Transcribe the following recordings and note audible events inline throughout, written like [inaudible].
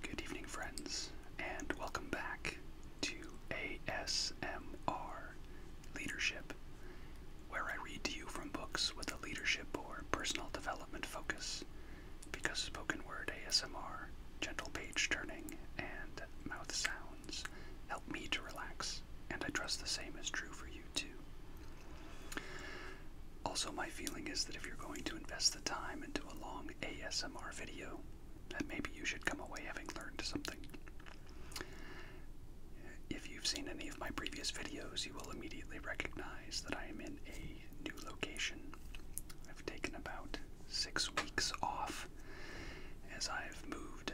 Good evening, friends, and welcome back to ASMR Leadership, where I read to you from books with a leadership or personal development focus, because spoken word ASMR, gentle page turning, and mouth sounds help me to relax, and I trust the same is true for you too. Also, my feeling is that if you're going to invest the time into a long ASMR video, that maybe you should come away having learned something. If you've seen any of my previous videos, you will immediately recognize that I am in a new location. I've taken about six weeks off as I've moved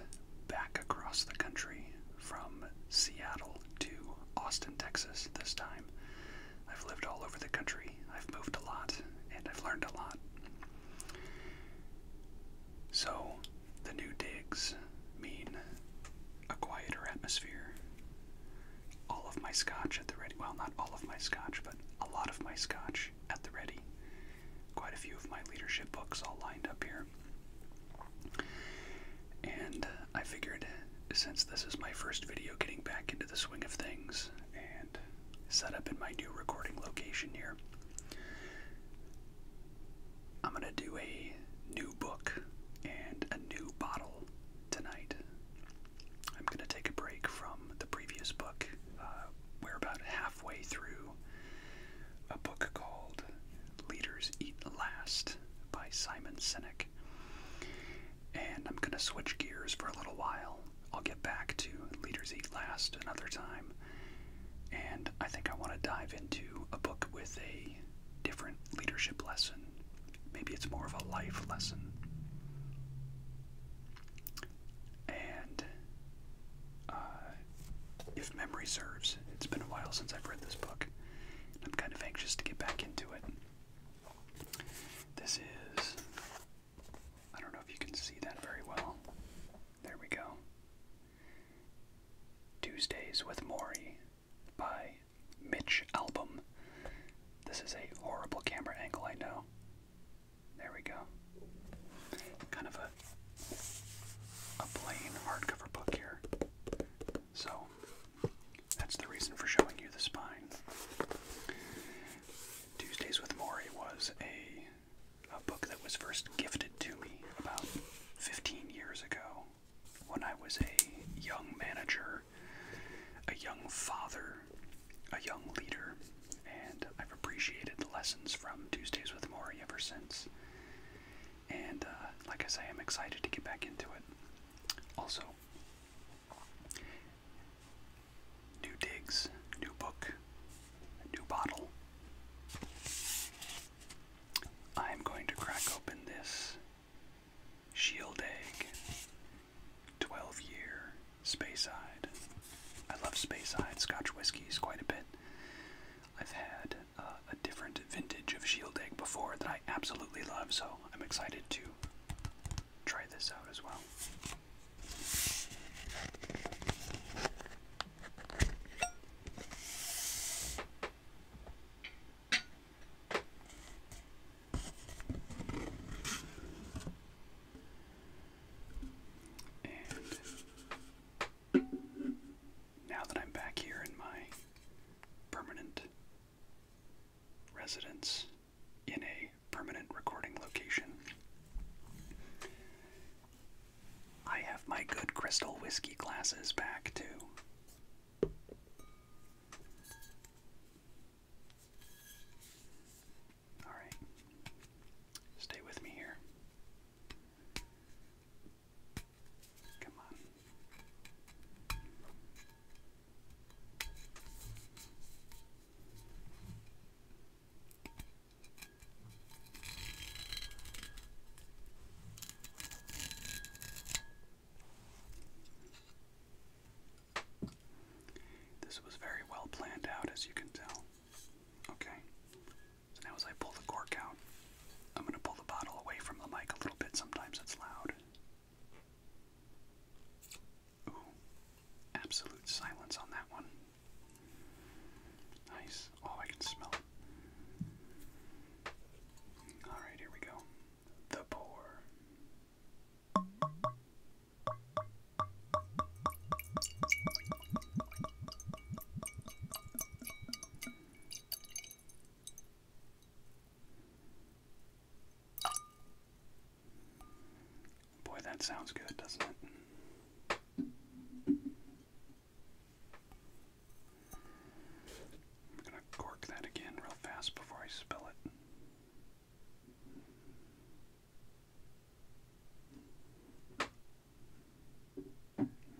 back across the country from Seattle to Austin, Texas this time. I've lived all over the country, I've moved a lot, and I've learned a lot. So, the new digs mean a quieter atmosphere. All of my scotch at the ready, well, not all of my scotch, but a lot of my scotch at the ready. Quite a few of my leadership books all lined up here. And I figured since this is my first video getting back into the swing of things and set up in my new recording location here, I'm going to do a new book and a new bottle tonight. I'm going to take a break from the previous book. Uh, we're about halfway through a book called Leaders Eat Last by Simon Sinek. And I'm going to switch gears for a little while. I'll get back to Leaders Eat Last another time. And I think I want to dive into a book with a different leadership lesson. Maybe it's more of a life lesson. And uh, if memory serves, it's been a while since I've read this book. I'm kind of anxious to get back into it. This is. I don't know if you can see that very well. There we go. Tuesdays with Maury by Mitch Album. This is a horrible camera angle, I know. There we go. Kind of a a plain hardcover book here. So that's the reason for showing you the spine. Tuesdays with Maury was a a book that was first gifted to me about 15 years ago when I was a young manager, a young father, a young leader, and I've appreciated the lessons from Tuesdays with Maury ever since. And uh, like I say, I'm excited to get back into it. Also, new digs, new book, new bottle. I'm going to crack open this shield egg 12 year space Speyside. I love space Speyside Scotch whiskies quite a bit. I've had uh, a different vintage of shield egg before that I absolutely love, so I'm excited to try this out as well. And now that I'm back here in my permanent residence in a permanent recording location. I have my good crystal whiskey glasses back too. All right. Stay with me here. Come on. This was very well planned out, as you can tell. Okay, so now as I pull the cork out, I'm going to pull the bottle away from the mic a little bit. Sometimes it's loud absolute silence on that one. Nice. Oh, I can smell it. Alright, here we go. The pour. Boy, that sounds good, doesn't it? I'm gonna cork that again real fast before I spill it.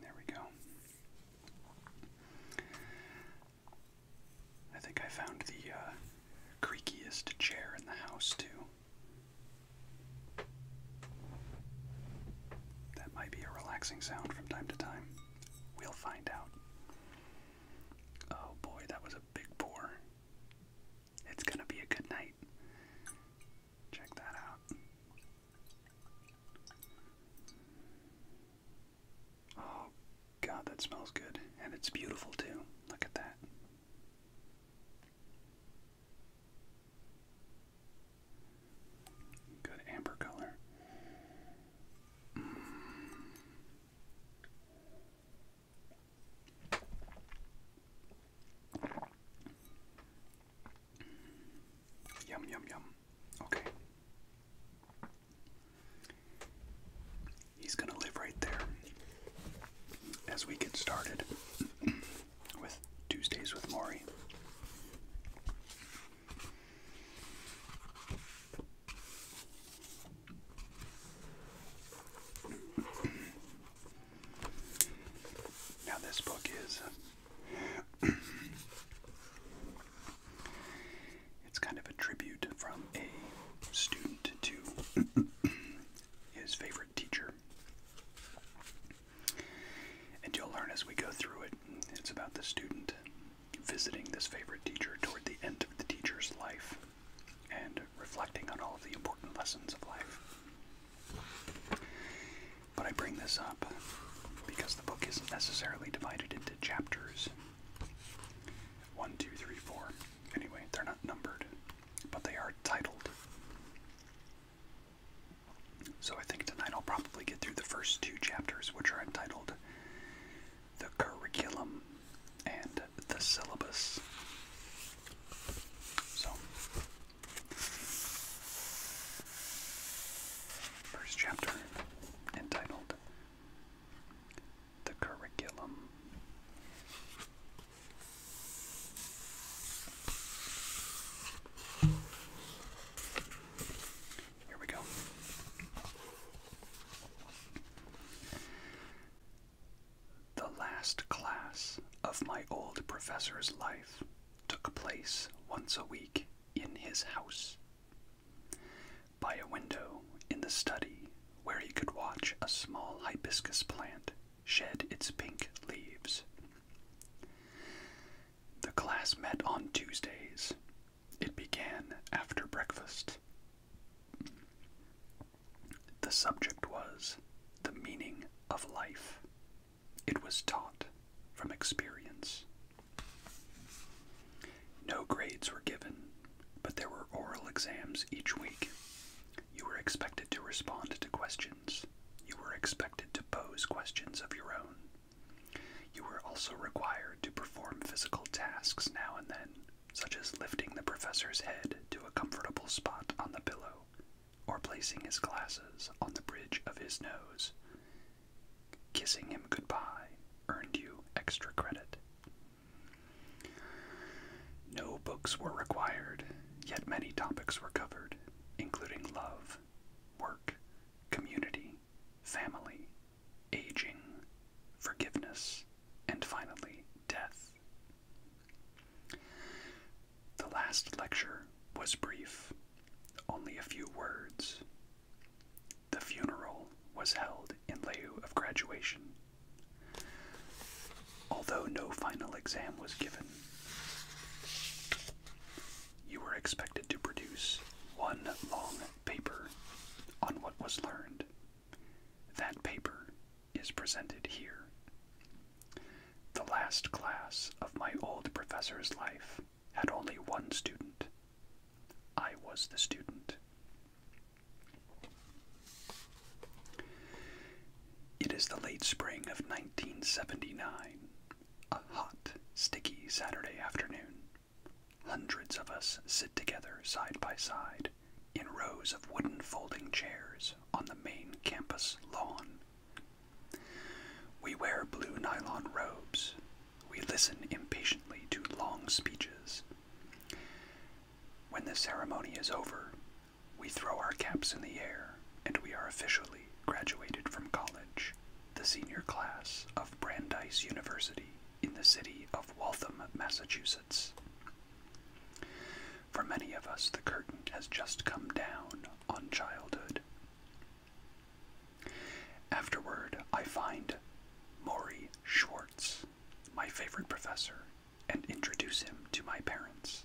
There we go. I think I found the uh, creakiest chair in the house, too. That might be a relaxing sound from time to time. We'll find out. Oh boy, that was a big pour. It's gonna be a good night. Check that out. Oh god, that smells good. And it's beautiful too. Look at that. Good amber color. Mm. Yum, yum, yum. Okay. He's going to live right there as we get started with Tuesdays with Maury. Now, this book is [clears throat] it's kind of a tribute from a student to [laughs] his favorite teacher. And you'll learn as we go through it, it's about the student visiting this favorite teacher toward the end of the teacher's life and reflecting on all of the important lessons of life. But I bring this up because the book isn't necessarily divided into chapters. One, two, three, four. Anyway, they're not numbered, but they are titled. So I think tonight I'll probably get through the first two chapters, which are entitled The Curriculum and The Syllabus. So, first chapter entitled The Curriculum. Here we go. The last class of my old professor's life took place once a week in his house by a window in the study where he could watch a small hibiscus plant shed its pink leaves. The class met on Tuesdays. It began after breakfast. The subject was the meaning of life. It was taught from experience no grades were given, but there were oral exams each week. You were expected to respond to questions. You were expected to pose questions of your own. You were also required to perform physical tasks now and then, such as lifting the professor's head to a comfortable spot on the pillow or placing his glasses on the bridge of his nose. Kissing him goodbye earned you extra credit. No books were required, yet many topics were covered, including love, work, community, family, aging, forgiveness, and finally, death. The last lecture was brief, only a few words, the funeral was held in lieu of graduation. Although no final exam was given, you were expected to produce one long paper on what was learned. That paper is presented here. The last class of my old professor's life had only one student. I was the student. It is the late spring of 1979, a hot, sticky Saturday afternoon. Hundreds of us sit together side by side in rows of wooden folding chairs on the main campus lawn. We wear blue nylon robes. We listen impatiently to long speeches. When the ceremony is over, we throw our caps in the air and we are officially graduated from college, the senior class of Brandeis University in the city of Waltham, Massachusetts. For many of us, the curtain has just come down on childhood. Afterward, I find Maury Schwartz, my favorite professor, and introduce him to my parents.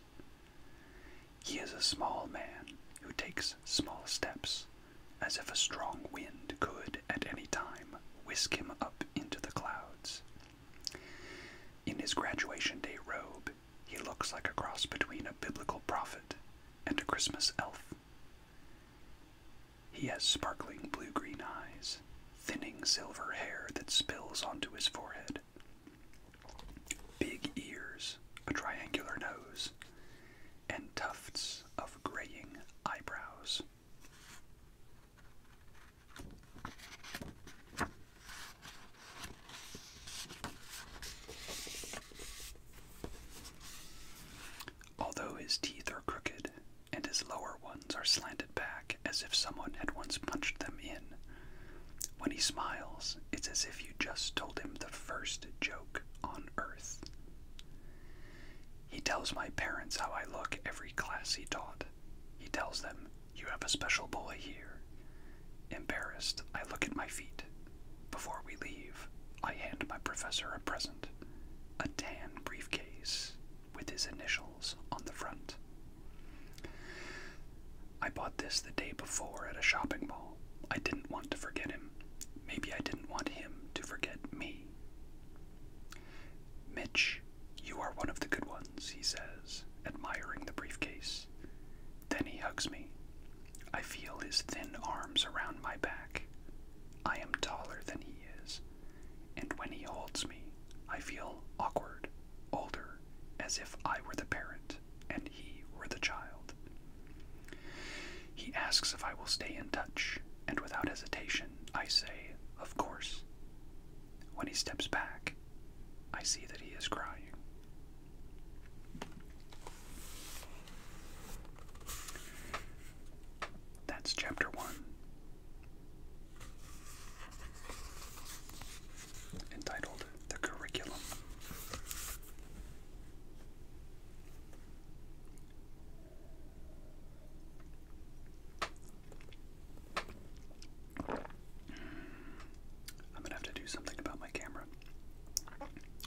He is a small man who takes small steps, as if a strong wind could at any time whisk him up into the clouds. In his graduation day robe, he looks like a cross between a biblical prophet and a Christmas elf. He has sparkling blue green eyes, thinning silver hair that spills onto his forehead, big ears, a triangular nose, and tufts of graying eyebrows. Although his teeth are crooked and his lower ones are slanted back as if someone had once punched them in, when he smiles, it's as if you just told him the first joke on earth. He tells my parents how I look every class he taught. He tells them, You have a special boy here. Embarrassed, I look at my feet. Before we leave, I hand my professor a present a tan briefcase with his initials on the front. I bought this the day before at a shopping mall. I didn't want to forget him. Maybe I didn't want him to forget me. Mitch, you are one of the good ones, he says, admiring the briefcase. Then he hugs me. I feel his thin arms around my back. I am taller than he is, and when he holds me, I feel awkward, older, as if I were the parent and he were the child. He asks if I will stay in touch, and without hesitation, I say, Of course. When he steps back, I see that he is crying. That's chapter one, entitled The Curriculum. I'm gonna have to do something about my camera.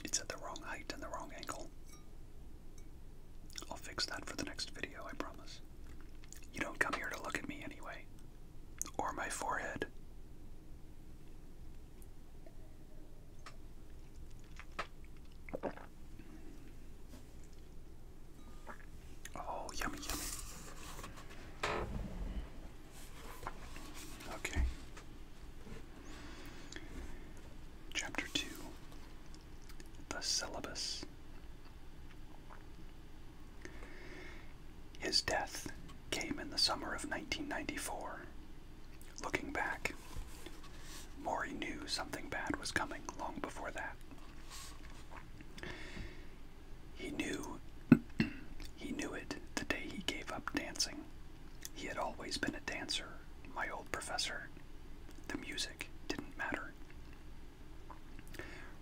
It's at the wrong height and the wrong angle. I'll fix that for the next video, I promise. You don't come here to look at me anyway, or my forehead. Oh, yummy, yummy. Okay. Chapter 2 The Syllabus. His death came in the summer of 1994. Looking back, Maury knew something bad was coming long before that. He knew [clears throat] he knew it the day he gave up dancing he had always been a dancer, my old professor. The music didn't matter.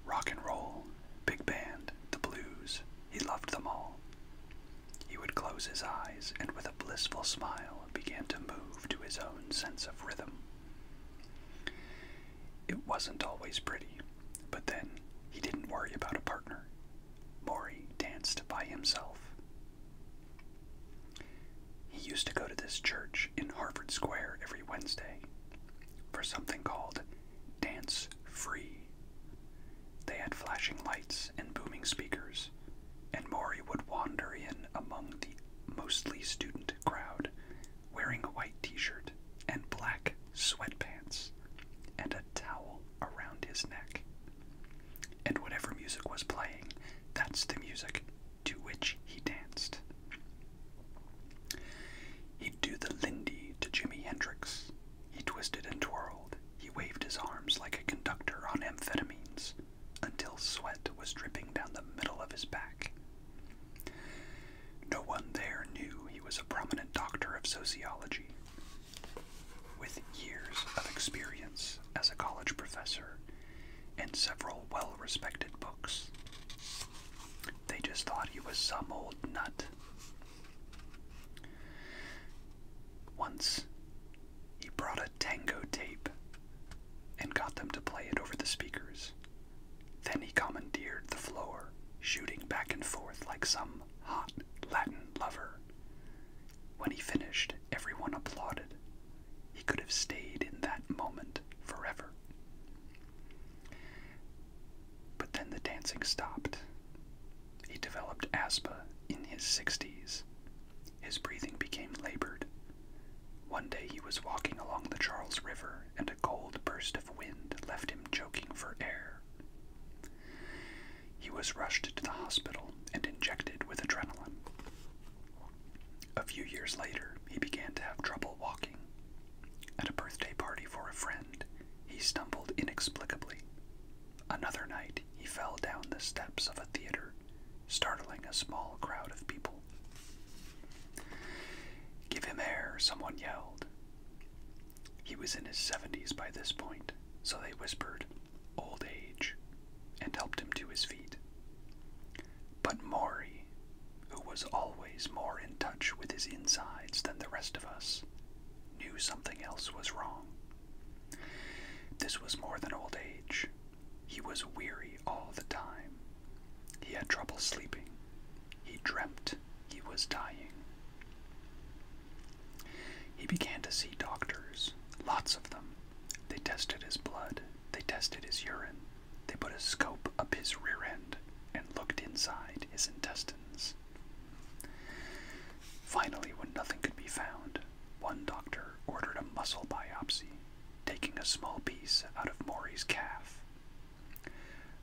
Rock and roll, big band, the blues, he loved them all. He would close his eyes and with a blissful smile begin to move to his own sense of rhythm. It wasn't always pretty, but then he didn't worry about a partner. Maury danced by himself. He used to go to this church in Harvard Square every Wednesday for something called Dance Free. They had flashing lights and booming speakers, and Maury would wander in among the mostly student crowd, wearing a white t shirt and black sweatpants and a towel around his neck. And whatever music was playing, that's the music to which he danced. He'd do the Lindy to Jimi Hendrix. He twisted and twirled. He waved his arms like a conductor on amphetamines until sweat was dripping down the middle of his back. No one there knew he was a prominent doctor of sociology, with years of experience as a college professor and several well respected books, they just thought he was some old nut. Once, he brought a tango tape and got them to play it over the speakers. Then he commandeered the floor, shooting back and forth like some hot Latin lover. When he finished, everyone applauded. He could have stayed in that moment forever. But then the dancing stopped. He developed asthma in his 60s. His breathing became labored. One day he was walking along the Charles River, and a cold burst of wind left him choking for air. He was rushed to the hospital and injected with adrenaline. A few years later, he began to have trouble walking. At a birthday party for a friend, he stumbled inexplicably. Another night, he fell down the steps of a theater, startling a small crowd of people. Give him air, someone yelled, he was in his 70s by this point, so they whispered, old age, and helped him to his feet. But Maury, who was always more in touch with his insides than the rest of us, knew something else was wrong. This was more than old age. He was weary all the time. He had trouble sleeping. He dreamt he was dying. He began to see doctors, lots of them. They tested his blood, they tested his urine, they put a scope up his rear end and looked inside his intestines. Finally, when nothing could be found, one doctor ordered a muscle biopsy, taking a small piece out of Maury's calf.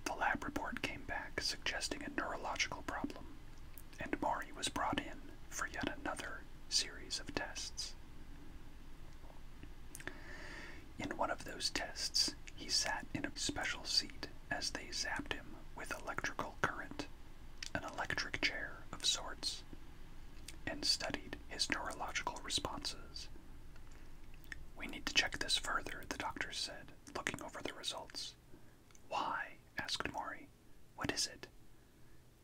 The lab report came back suggesting a neurological problem, and Mari was brought in for yet another series of tests. In one of those tests, he sat in a special seat as they zapped him with electrical current, an electric chair of sorts, and studied his neurological responses. We need to check this further, the doctor said, looking over the results. Why? asked Maury. What is it?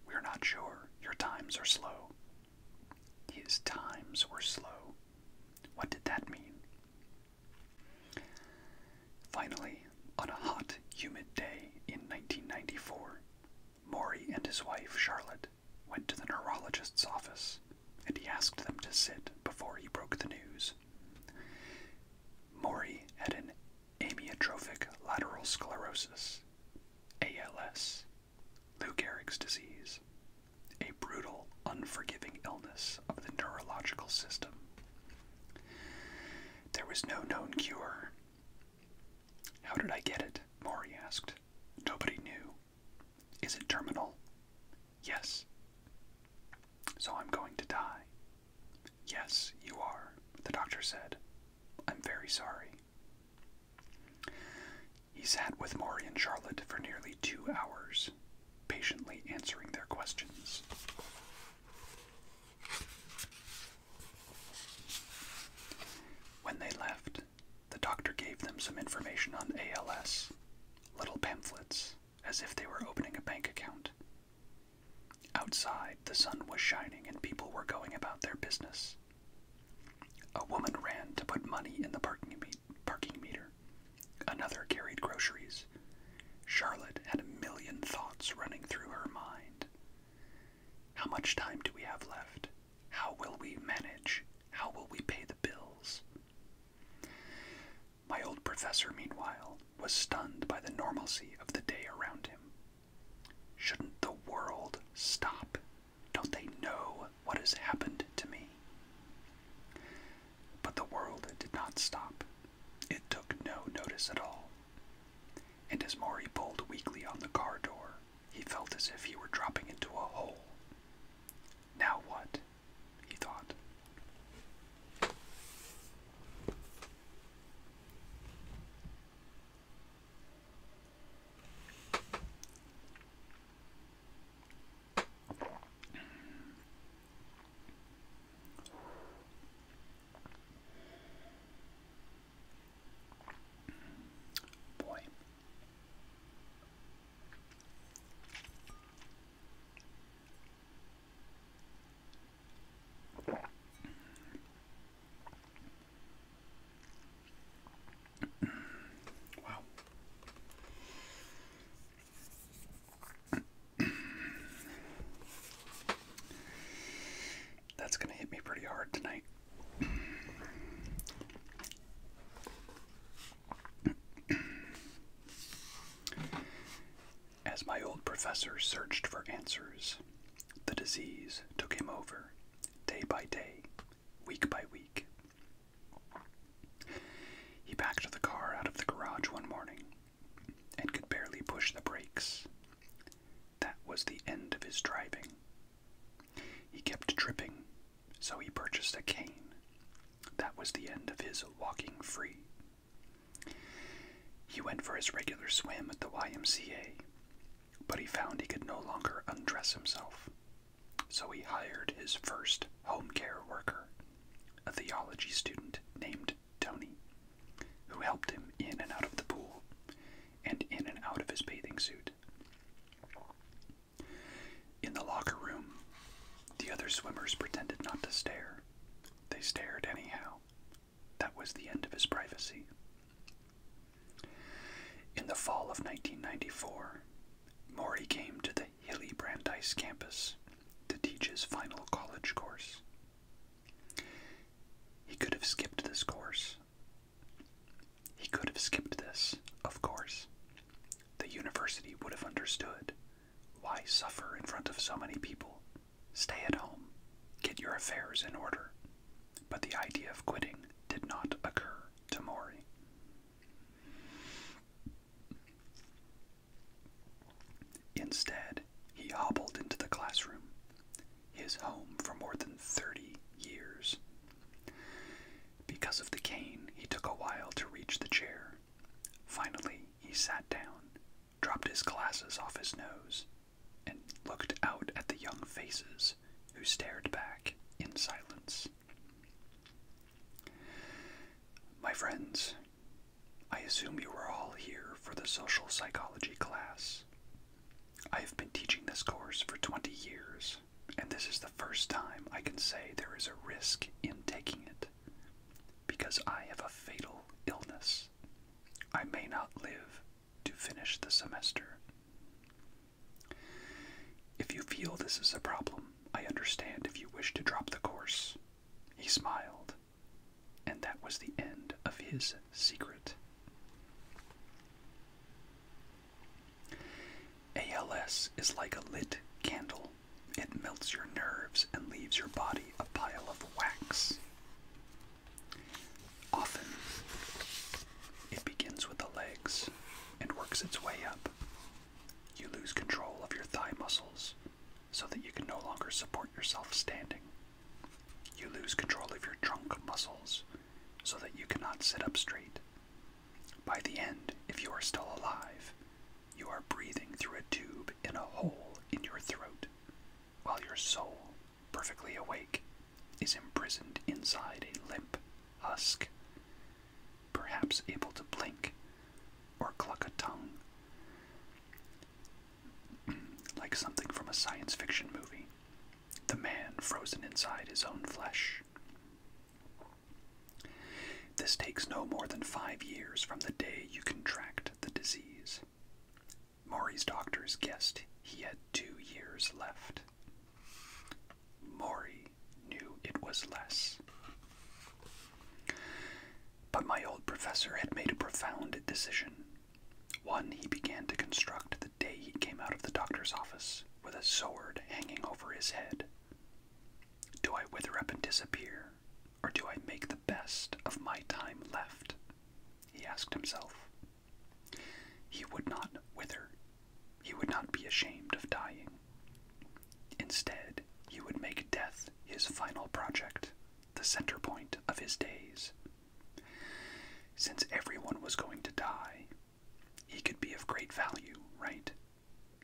We're not sure. Your times are slow. His times were slow. What did that mean? Finally, on a hot, humid day in 1994, Maury and his wife, Charlotte, went to the neurologist's office, and he asked them to sit before he broke the news years. Mori had an amyotrophic lateral sclerosis, ALS, Lou Gehrig's disease, a brutal, unforgiving illness of the neurological system. There was no known cure. How did I get it? Maury asked. Nobody knew. Is it terminal? Yes. So I'm going to die. Yes, you are, the doctor said. I'm very sorry. He sat with Maury and Charlotte for nearly two hours, patiently answering their questions. When they left, the doctor gave them some information on ALS, little pamphlets, as if they were opening a bank account. Outside, the sun was shining and people were going about their business. A woman ran to put money in the parking, meter. Another carried groceries. Charlotte had a million thoughts running through her mind. How much time do we have left? How will we manage? How will we pay the bills? My old professor, meanwhile, was stunned by the normalcy of the day around him. Shouldn't the world stop? Don't they know what has happened to me? But the world did not stop. It took no notice at all. And as Maury pulled weakly on the car door, he felt as if he were dropping into a hole. Now what? he thought. Boy. Wow. That's going to hit me pretty hard tonight. As my old professor searched for answers, the disease took him over, day by day, week by week. He backed the car out of the garage one morning and could barely push the brakes. That was the end of his driving. He kept tripping so he purchased a cane. That was the end of his walking free. He went for his regular swim at the YMCA, but he found he could no longer undress himself, so he hired his first home care worker, a theology student named Tony, who helped him in and out of the pool and in and out of his bathing suit. In the locker room, the other swimmers pretended not to stare. They stared anyhow. That was the end of his privacy. In the fall of 1994, Maury came to the hilly Brandeis campus to teach his final college course. He could have skipped this course. He could have skipped this, of course the university would have understood. Why suffer in front of so many people? Stay at home, get your affairs in order. But the idea of quitting did not occur to Mori. Instead, he hobbled into the classroom, his home for more than 30 years. Because of the cane, he took a while to reach the chair, Finally, he sat down, dropped his glasses off his nose, and looked out at the young faces who stared back in silence. My friends, I assume you are all here for the social psychology class. I have been teaching this course for 20 years and this is the first time I can say there is a risk in taking it because I have a fatal illness. I may not live to finish the semester. If you feel this is a problem, I understand if you wish to drop the course. He smiled, and that was the end of his secret. ALS is like a lit candle. It melts your nerves and leaves your body a pile of wax. Often, it begins with the legs and works its way up. You lose control of your thigh muscles so that you can no longer support yourself standing. You lose control of your trunk muscles so that you cannot sit up straight by the end, if you are still alive, you are breathing through a tube in a hole in your throat, while your soul, perfectly awake, is imprisoned inside a limp husk, perhaps able to blink or cluck a tongue. [clears throat] like something from a science fiction movie, the man frozen inside his own flesh. This takes no more than five years from the day you contract the disease. Maury's doctors guessed he had two years left. Maury knew it was less. But my old professor had made a profound decision. One he began to construct the day he came out of the doctor's office with a sword hanging over his head. Do I wither up and disappear, or do I make the best of my time left? He asked himself. He would not wither. He would not be ashamed of dying. Instead, he would make death his final project, the center point of his days. Since everyone was going to die, he could be of great value, right?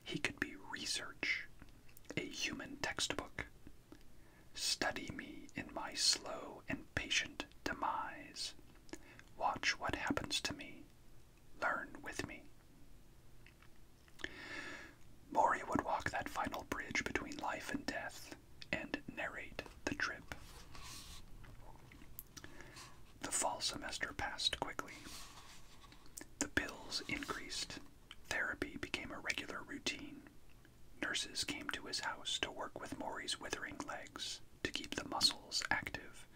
He could be research, a human textbook. Study me in my slow and patient demise. Watch what happens to me. Learn with me. Maury would walk that final bridge between life and death and narrate the trip. The fall semester passed quickly. The bills increased. Therapy became a regular routine. Nurses came to his house to work with Maury's withering legs, to keep the muscles active,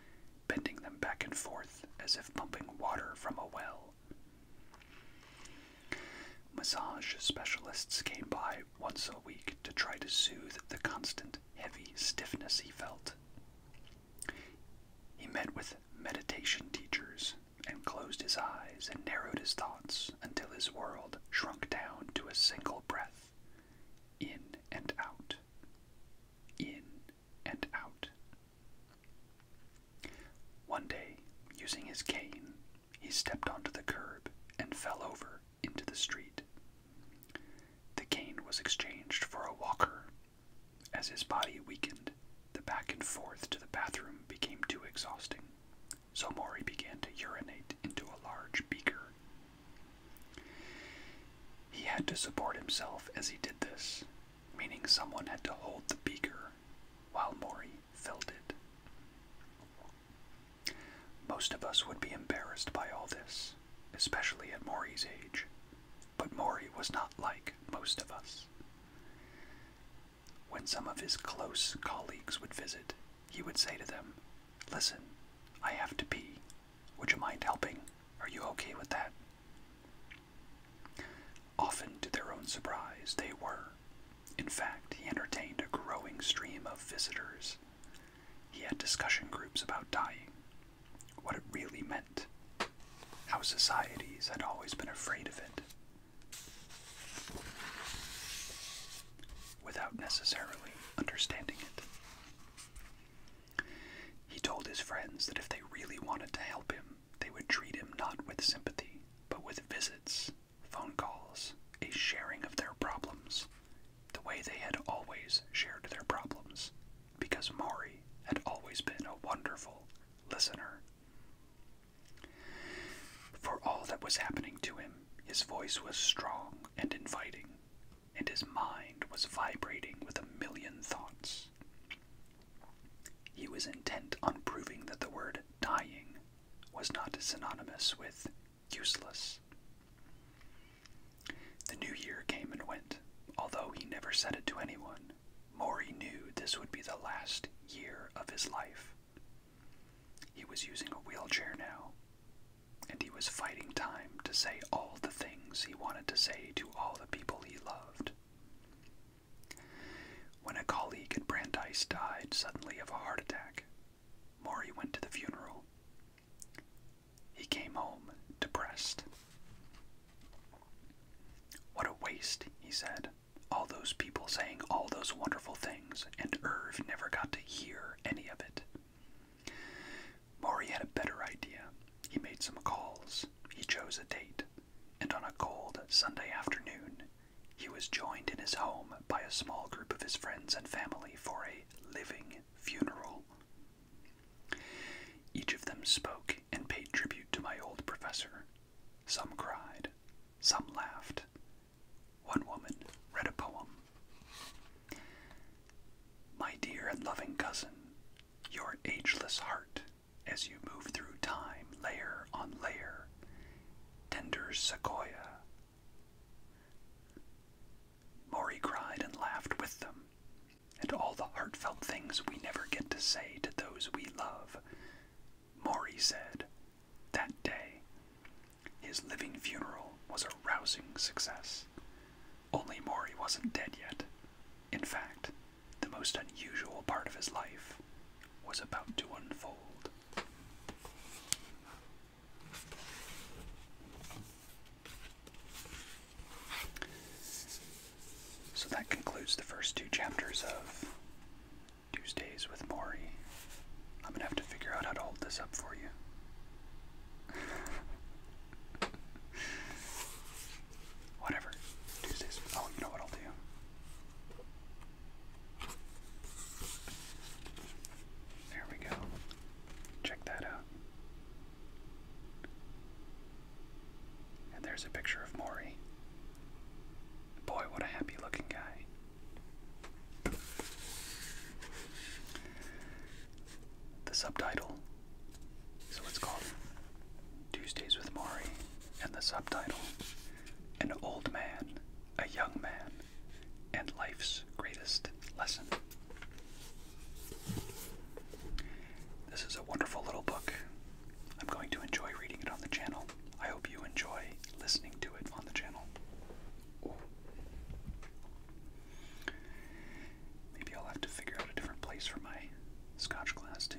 bending them back and forth as if pumping water from a well. Massage specialists came by once a week to try to soothe the constant heavy stiffness he felt. He met with meditation teachers and closed his eyes and narrowed his thoughts until his world shrunk down to a single breath in and out, in and out. One day, using his cane, he stepped onto the curb and fell over into the street. The cane was exchanged for a walker as his body weakened, the back and forth to the bathroom became too exhausting, so Maury began to urinate into a large beaker. He had to support himself as he did this, meaning someone had to hold the beaker while Maury filled it. Most of us would be embarrassed by all this, especially at Maury's age, but Maury was not like most of us. When some of his close colleagues would visit, he would say to them, Listen, I have to pee. Would you mind helping? Are you okay with that? Often, to their own surprise, they were. In fact, he entertained a growing stream of visitors. He had discussion groups about dying, what it really meant, how societies had always been afraid of it, without necessarily understanding it. He told his friends that if they really wanted to help him, they would treat him not with sympathy, but with visits, phone calls, a sharing of their problems, the way they had always shared their problems, because Mari had always been a wonderful listener. For all that was happening to him, his voice was strong and inviting, and his mind was vibrating with a million thoughts. He was intent on proving that the word dying was not synonymous with useless. The new year came and went, although he never said it to anyone. Maury knew this would be the last year of his life. He was using a wheelchair now, and he was fighting time to say all the things he wanted to say to all the people he loved. When a colleague at Brandeis died suddenly of a heart attack, Maury went to the funeral, he came home depressed. What a waste, he said. All those people saying all those wonderful things, and Irv never got to hear any of it. Maury had a better idea. He made some calls, he chose a date, and on a cold Sunday afternoon, he was joined in his home by a small group of his friends and family for a living funeral each of them spoke and paid tribute to my old professor. Some cried, some laughed. One woman read a poem. My dear and loving cousin, your ageless heart, as you move through time layer on layer, tender sequoia. Maury cried and laughed with them, and all the heartfelt things we never get to say to those we love. Maury said, that day, his living funeral was a rousing success. Only Maury wasn't dead yet. In fact, the most unusual part of his life was about to unfold. So that concludes the first two chapters of Tuesdays with Maury. I'm going to have to figure out how to hold this up for you. [laughs] Whatever. Tuesdays. Oh, you know what I'll do? There we go. Check that out. And there's a picture of Maury. Boy, what a happy looking guy. The subtitle, so it's called Tuesdays with Maury, and the subtitle, An Old Man, a Young Man, and Life's Greatest Lesson. This is a wonderful little book. I'm going to enjoy reading it on the channel. I hope you enjoy listening to it on the channel. Maybe I'll have to figure out a different place for my Scotch glass too.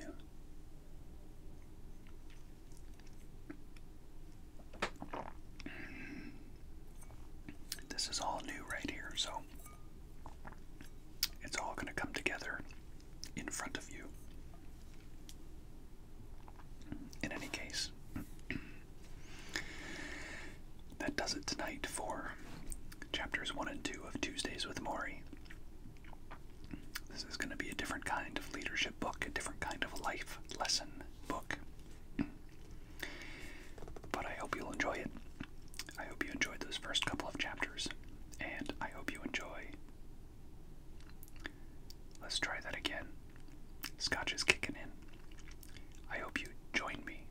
This is all new right here, so it's all going to come together in front of you. In any case, [clears throat] that does it tonight for chapters 1 and 2 of Tuesdays with Maury. This is going to be a different kind of leadership book, a different kind of life lesson book. [clears throat] But I hope you'll enjoy it. I hope you enjoyed those first couple of chapters, and I hope you enjoy. Let's try that again. Scotch is kicking in. I hope you join me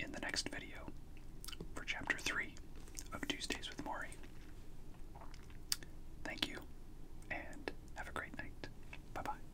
in the next video for chapter 3 of Tuesdays with Maury. Thank you, and have a great night. Bye bye.